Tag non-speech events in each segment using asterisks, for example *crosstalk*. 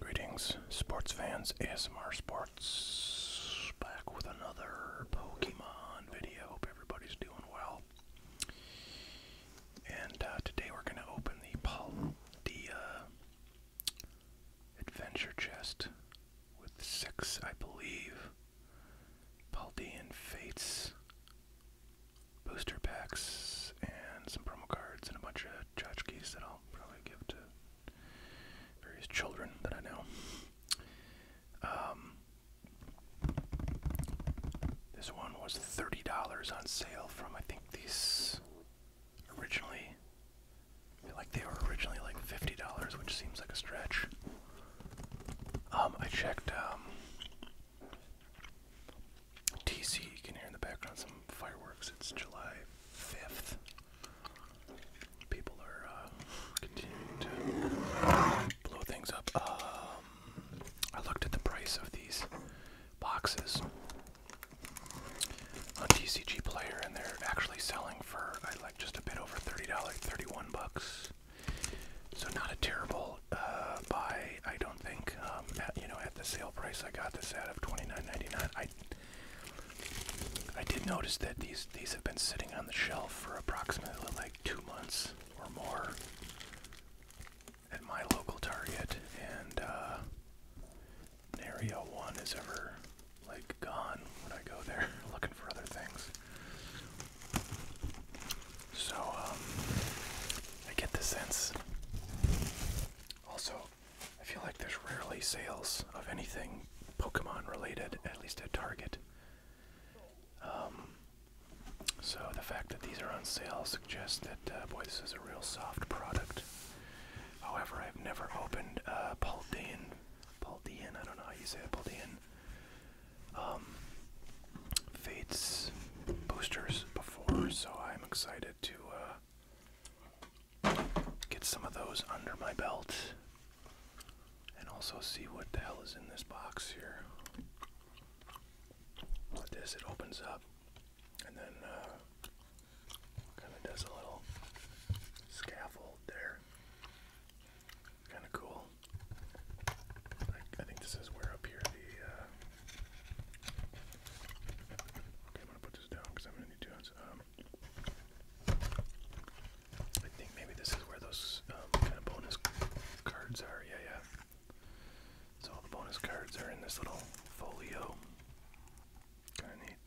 Greetings, sports fans, ASMR Sports back with another Pokemon video. Hope everybody's doing well. And uh, today we're going to open the, Pal uh, adventure chest with six, I believe, Paldean Fates booster packs and some promo cards and a bunch of tchotchkes that I'll probably give to various children that I know. Um, this one was $30 on sale from I think these originally feel like they were originally like $50 which seems like a stretch. Um, I checked um, TC. can hear in the background some fireworks. It's July 5th. People are uh, continuing to blow things up. Um, I looked at the price of these boxes on TCG Player, and they're actually selling for I like just a bit over thirty dollars, thirty-one bucks. So not a terrible uh, buy, I don't think. Um, at, you know, at the sale price, I got this out of twenty nine ninety nine. I I did notice that these these have been sitting on the shelf for approximately like two months or more at my local Target, and uh, area one is ever like gone when I go there *laughs* looking for other things. So, um, I get the sense. Also, I feel like there's rarely sales of anything Pokemon related, at least at Target. Um, so the fact that these are on sale suggests that, uh, boy, this is a real soft product. However, I've never opened a Paldean, Paldean, I don't know how you say it, Paldean um, Fates boosters before, so I'm excited to uh, get some of those under my belt and also see what the hell is in this box here. With this, it opens up and then uh, kind of does a little scaffold there kind of cool. I, think this is where up here the. Uh... Okay, I'm gonna put this down because I'm gonna need to. Um, I think maybe this is where those um, kind of bonus cards are. Yeah, yeah. So all the bonus cards are in this little folio. Kind of neat.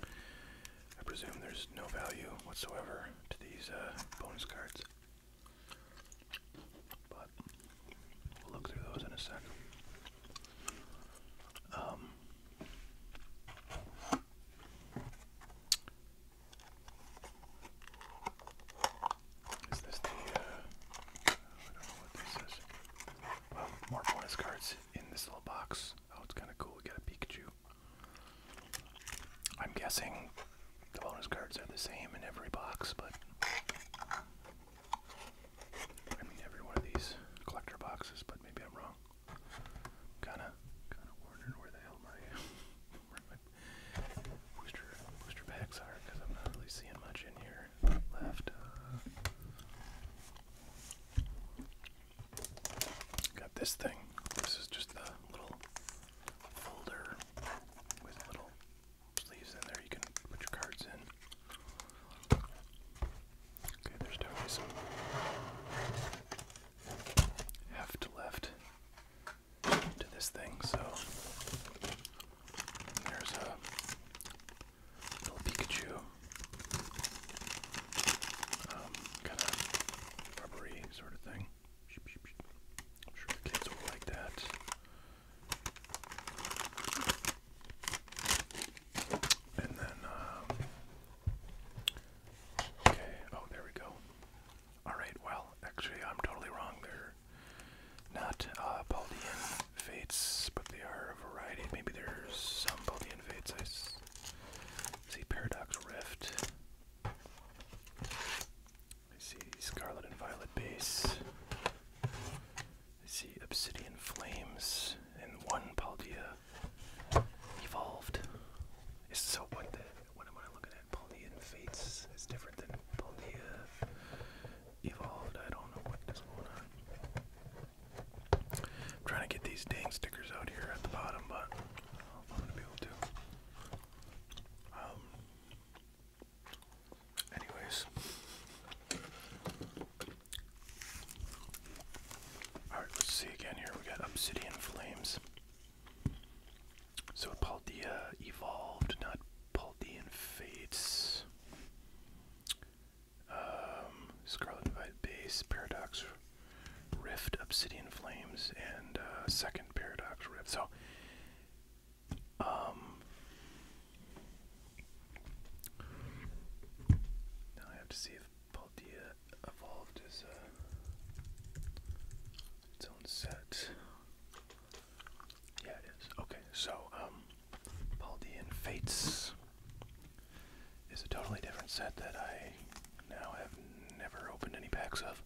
I presume there's no value whatsoever to these uh, bonus cards. But we'll look through those in a sec. Um, is this the, uh, more bonus cards in this little box. Oh, it's kind of cool. We got a Pikachu. I'm guessing the bonus cards are the same in every box, but I mean every one of these collector boxes, but maybe I'm wrong. Kind of, kind of wondering where the *laughs* booster booster packs are because I'm not really seeing much in here left. Uh, Got this thing. This is just the little folder with little sleeves in there you can put your cards in. Okay, there's definitely some heft left to this thing, so there's a little Pikachu. Um, rubbery sort of thing. I'm sure the kids will like that. And then, um, okay, oh, there we go. Alright, well, actually, I'm totally wrong. They're not uh, fates, but they are a variety. Maybe there's some Baldian fates see Paradox Rift. see Scarlet and Violet Base. see Obsidian Flames and one Paldea evolved. so what the what am I looking at? Paldean Fates is different than Paldea evolved. I don't know what is going on trying to get these dang stickers out here at the bottom, but I'm gonna be able to. Um, anyways. Alright, let's see again here. We got Obsidian Flames. So Paldea evolved, not Paldean Fates. Um, Scarlet Divide Base, Paradox Rift, Obsidian Flames, and uh, Second Paradox Rift. So, um, now I have to see if Paldea evolved uh, its own set. Yeah, it is. Okay, so um, Paldean Fates is a totally different set that I now have never opened any packs of,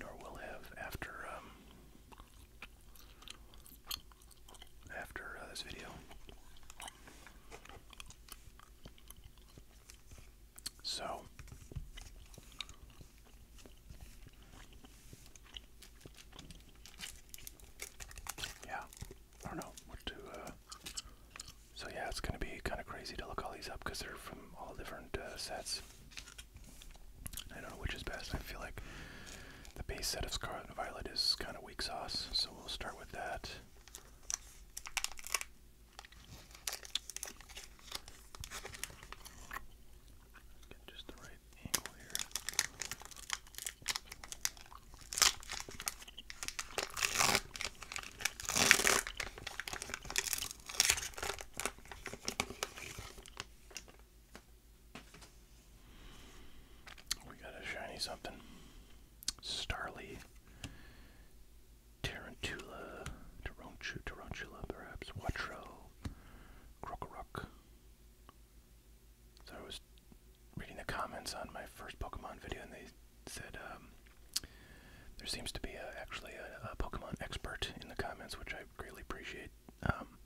nor will have after um, after uh, this video. So. Yeah, I don't know what to. Uh, so yeah, it's gonna be kind of crazy to look all these up because they're from all different uh, sets. I don't know which is best. I feel like the base set of Scarlet and Violet is kind of weak sauce, so we'll start with that. Get just the right angle here. We got a shiny something. Starly. Tarantula. Taronchu, Tarantula, perhaps. Watro. Crocorock. So it was reading the comments on my first Pokemon video, and they said um, there seems to be a, actually a, a Pokemon expert in the comments, which I greatly appreciate. Um,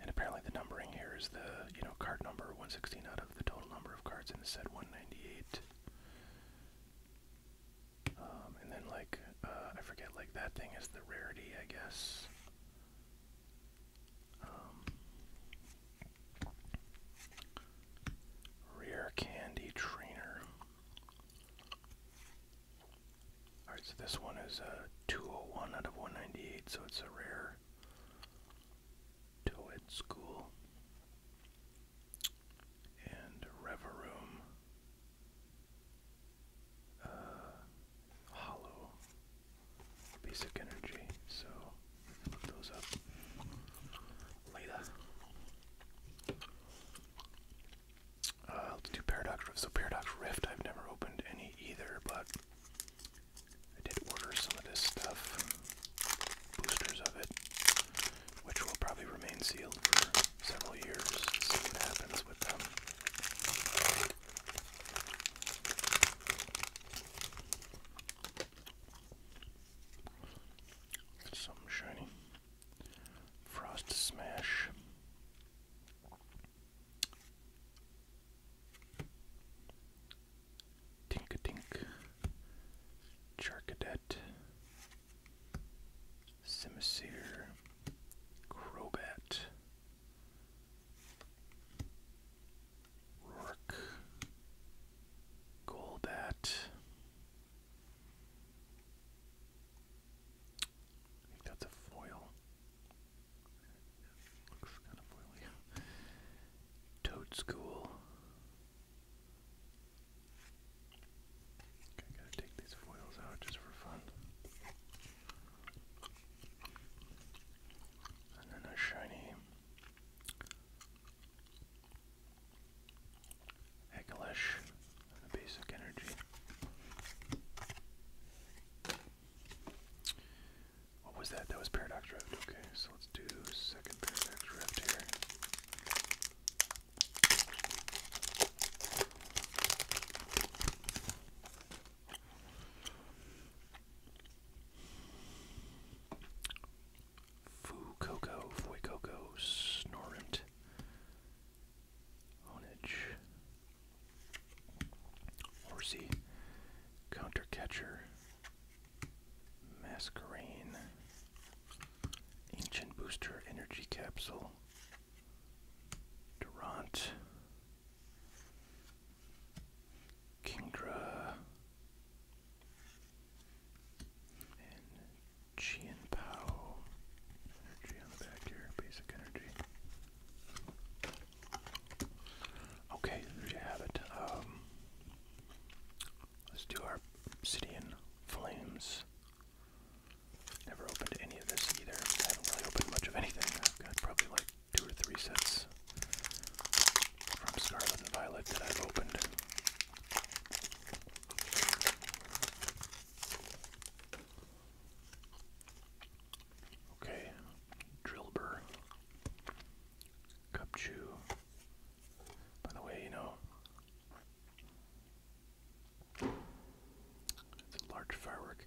and apparently, the numbering here is the you know card number 116 out of the total number of cards in the set 198. Um, and then like uh, I forget like that thing is the rarity, I guess. Um, Rare Candy Trainer. Alright, so this one is a 201 out of 198, so it's a rare Toed School. And Reverum. Uh, hollow basic energy. So look those up later. Uh, let's do Paradox Rift, I've never opened any either, but I did order some of this stuff, boosters of it, which will probably remain sealed for several years. See what happens with them. Something shiny. Frost Smash. Tinka Tink. Charcadet. Simisear. Crobat. Rourke. Golbat. I think that's a foil. Looks kind of foily. Toad School. Okay, gotta take these foils out just for fun. And then a shiny Hecklish basic energy. What was that? That was Paradox Rift. Okay, so let's do second Paradox Rift here. Fucoco, Fuecoco, Snorrent, Onage, Horsey, Catcher, Masquerain, Ancient Booster Energy Capsule, Durant, Kingdra and Chien Pao. Energy on the back here, basic energy. Okay, there you have it. Um, let's do our obsidian flames. Never opened any of this either. I haven't really opened much of anything. I've got probably like two or three sets from Scarlet and Violet that I've opened. Okay, Drillbur, Cupchew. By the way, you know, it's a large firework.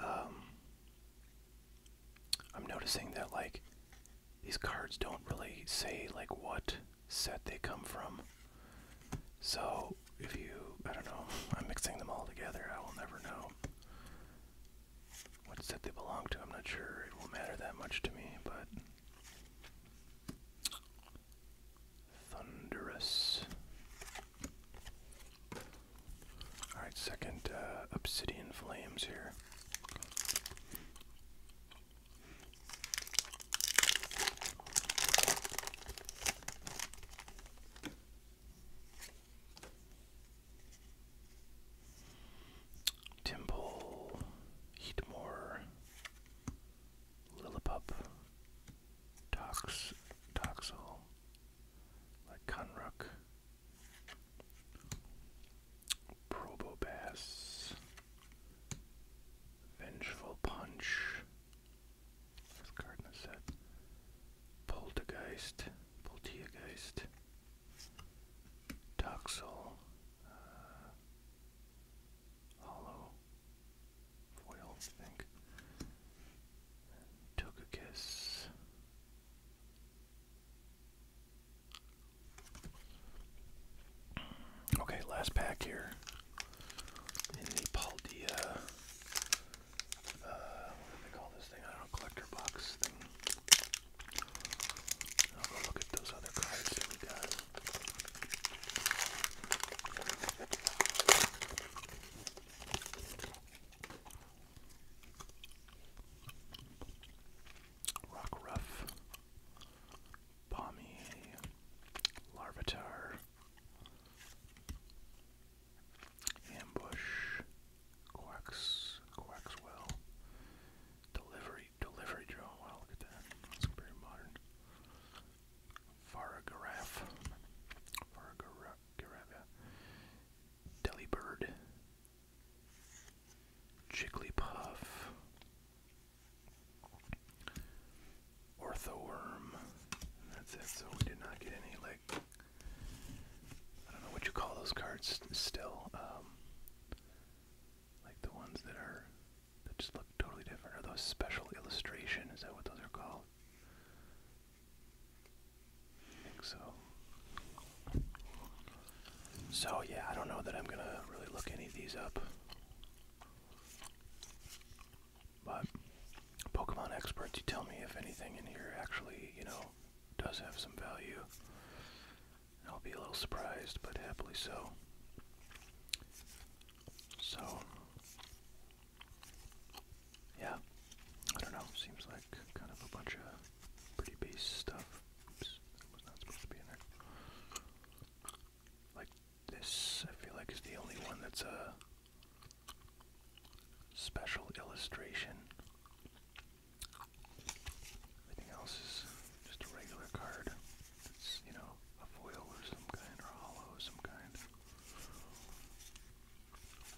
Um, I'm noticing that like these cards don't really say like what set they come from. So if you I don't know, *laughs* I'm mixing them all together, I will never know what set they belong to. I'm not sure it will matter that much to me, but Thunderous. All right, second uh, obsidian flames here. Timble, Heatmore, Lillipup, Tox, Toxel, like Conrook, Probobass, Vengeful Punch, this card in Poltergeist, Poltergeist, Toxel, uh, Hollow, Foil, I think, Togekiss, Okay, last pack here. In the uh, what do they call this thing? I don't collector box thing. I'll go look at those other cards we got. Rock Ruff, Balmy, Larvitar, Ambush, Quacks, Quackswell, Delivery, Delivery Drone. Wow, look at that. That's pretty modern. Faragiraffe, Faragiraffe, Delibird, Jigglypuff, Orthoworm. That's it. So we did not get any like I don't know what you call those cards still. Um, like the ones that are that just look totally different. Are those special illustration? Is that what those are called? think so. So yeah, I don't know that I'm gonna really look any of these up. But Pokemon experts, you tell me if anything in here actually, you know, does have some value. I'll be a little surprised, but happily so. So yeah, I don't know. Seems like kind of a bunch of pretty base stuff. Oops, that was not supposed to be in there. Like this, I feel like is the only one that's a special illustration. Everything else is just a regular card. It's, you know, a foil of some kind or hollow some kind.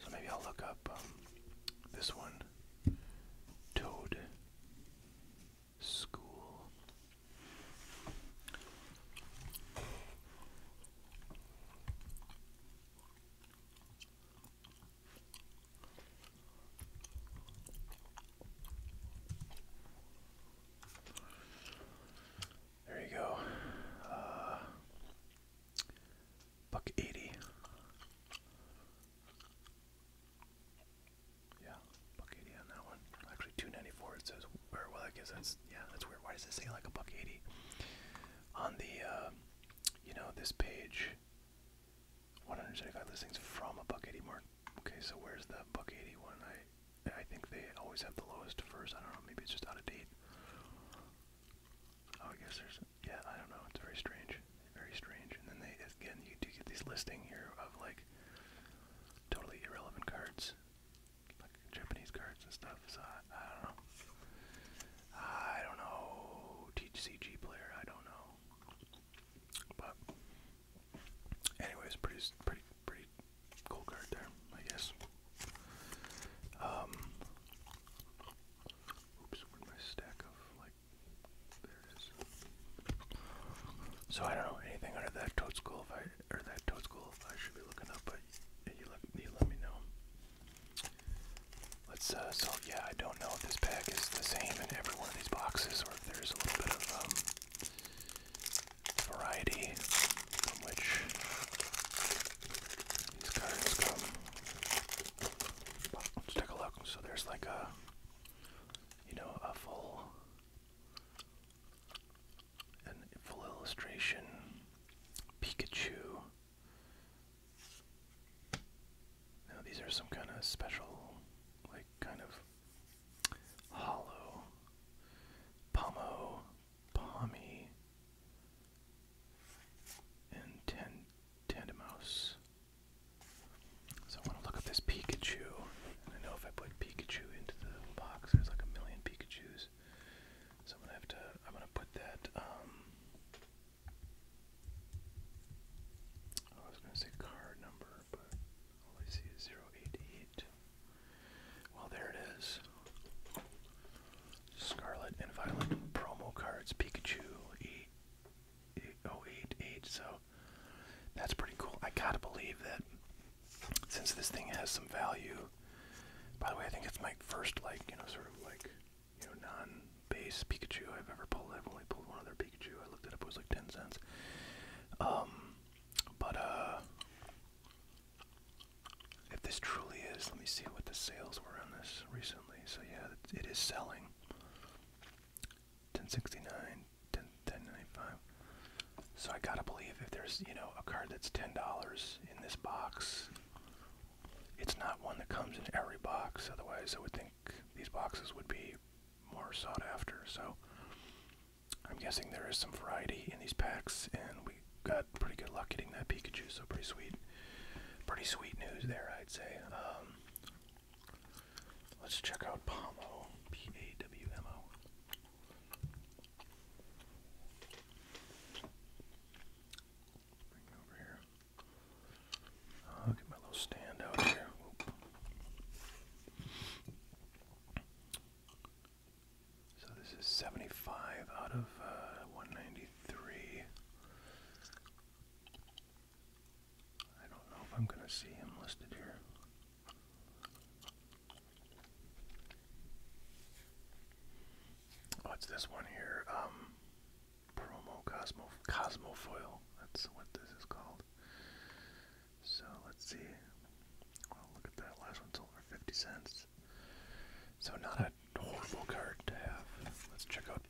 So maybe I'll look up um, this one Toad School. There you go. Uh, buck eighty. Yeah, buck eighty on that one. Actually, two ninety four. It says, or well, I guess that's yeah, that's weird. Why does it say like a buck eighty on the uh, you know this page? One hundred seventy five listings from a buck eighty mark. Okay, so where's the buck eighty one? I I think they always have the lowest first. I don't know. Maybe it's just out of date. Oh, I guess there's, yeah, I don't know. It's very strange, very strange. And then they, again, you do get these listing here of like totally irrelevant cards, like Japanese cards and stuff. So I, I don't know. I don't know. TCG player, I don't know. But anyways, pretty, pretty, pretty cool card there, I guess. Um, so I don't know anything under that toad school if I, or that toad school if I should be looking up, but you let, you let me know. Let's, uh, so yeah, I don't know if this pack is the same in every one of these boxes or if there's a little bit of, um, variety which these Let's take a look. So there's like a, you know, a full, an full illustration, Pikachu. Now these are some kind of special, like kind of hollow, pomo, pommy and Ten Tandemouse. So I want to look up this Pikachu, and I know if I put Pikachu into the box, there's like a million Pikachu's. So I'm gonna have to. I'm gonna put that. Um, oh, I was gonna say card number, but all I see is zero eight eight. Well, there it is. Scarlet and Violet promo cards, Pikachu 8, 8088. So that's pretty cool. I gotta believe that since this thing has some value. By the way, I think it's my first, like, you know, sort of like, you know, non base Pikachu I've ever pulled. I've only pulled one other Pikachu. I looked at it it was like 10 cents. Um, but, uh, if this truly is, let me see what the sales were on this recently. So yeah, it is selling. 1069, 10, 1095. So I gotta believe if there's, you know, a card that's $10 in this box, it's not one that comes in every box. Otherwise, I would think these boxes would be more sought after. So I'm guessing there is some variety in these packs, and we got pretty good luck getting that Pikachu, so pretty sweet. Pretty sweet news there, I'd say. Um, let's check out Pomo. P A W M O. Bring it over here. I'll oh, get my little stand out here. So this is 75 out of uh, 193. I don't know if I'm going to see him listed here. Oh, it's this one here. Um, promo Cosmo Cosmofoil. That's what this is called. So let's see. Well, look at that. Last one sold 50 cents. So not a horrible card to have. Let's check out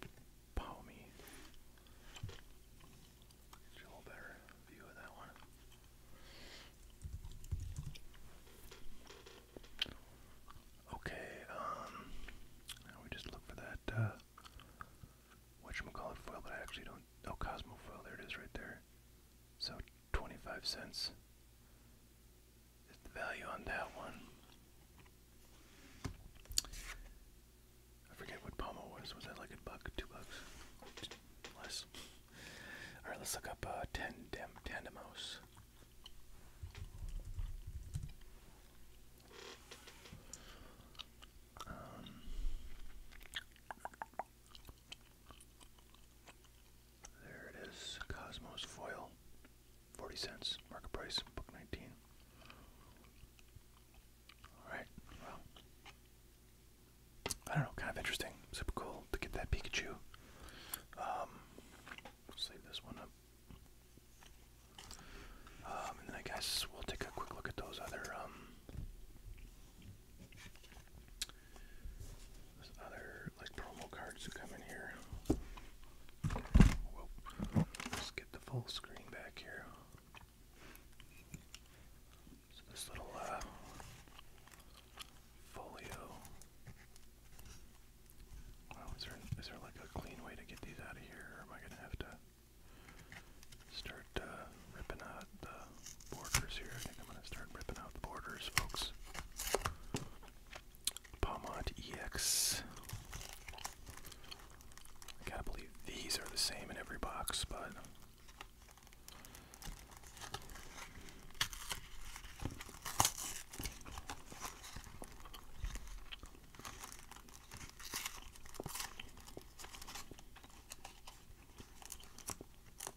Palmy. Okay, um, we just look for that, uh, whatchamacallit foil, but I actually don't, oh, Cosmo foil, there it is right there. So 25 cents is the value on that one. I forget what pommel was. Was that like a buck, two bucks, less? All right, let's look up uh, tandem tandemos. Um, there it is. Cosmos foil. 40 cents. Market price. Book 19. Alright. I don't know. Kind of interesting. Super cool to get that Pikachu. Um, let's this one up. Um, and then I guess we'll take a quick look at those other, um, other like promo cards that come in here. Let's get the full screen back here. So this little uh, folio. Wow, is there is there like a clean way to get these out of here, or am I gonna have to start uh, ripping out the borders here. I think I'm going to start ripping out the borders, folks. Palmont EX. I got believe these are the same in every box, but.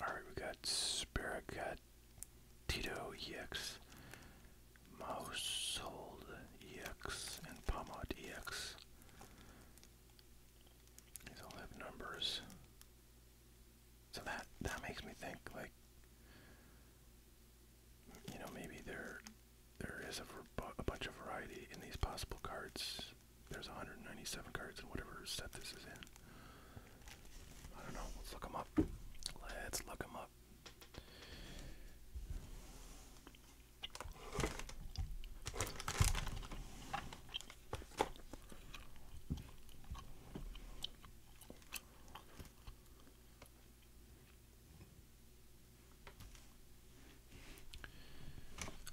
Alright, we got Spirit, got Tito EX, Mousehold EX, and Pomod EX. These all have numbers. So that that makes me think like you know maybe there there is a bunch of variety in these possible cards there's 197 cards in whatever set this is in. I don't know. Let's look them up. Let's look them up.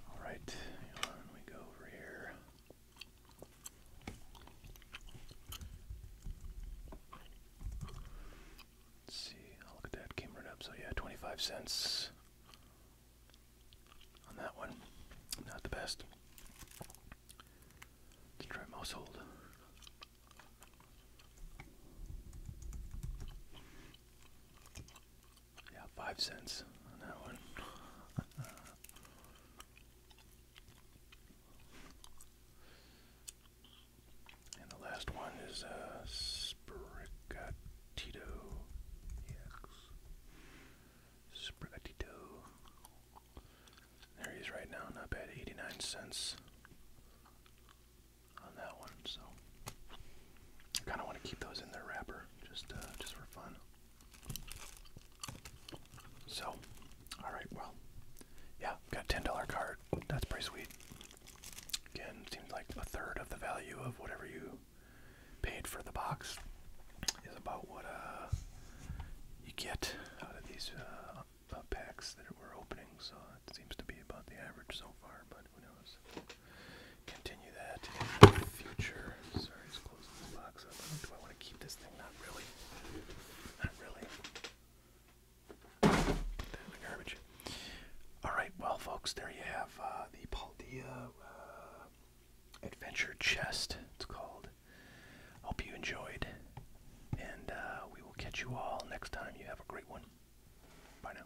All right, on we go over here. Let's see, I'll oh, look at that, came up. So yeah, 25 cents on that one. Not the best. Let's yeah, five cents on that one. and the last one is uh, Sprigatito. Yes. Sprigatito. There he is right now, not bad. 89 cents on that one, so. I kind of want to keep those in their wrapper just uh, just for fun. So, all right, well, yeah, got a ten dollar card. That's pretty sweet. Again, seems like a third of the value of whatever you paid for the box is about what uh, you get out of these uh, packs that we're opening. So it seems to be about the average so far, but who knows? continue that in the future. Sorry, just closing this box Do I want to keep this thing? Not really. Not really. Put that in the garbage. Alright, well, folks, there you have uh, the Paldea uh, Adventure Chest, it's called. Hope you enjoyed, and uh, we will catch you all next time. You have a great one. Bye now.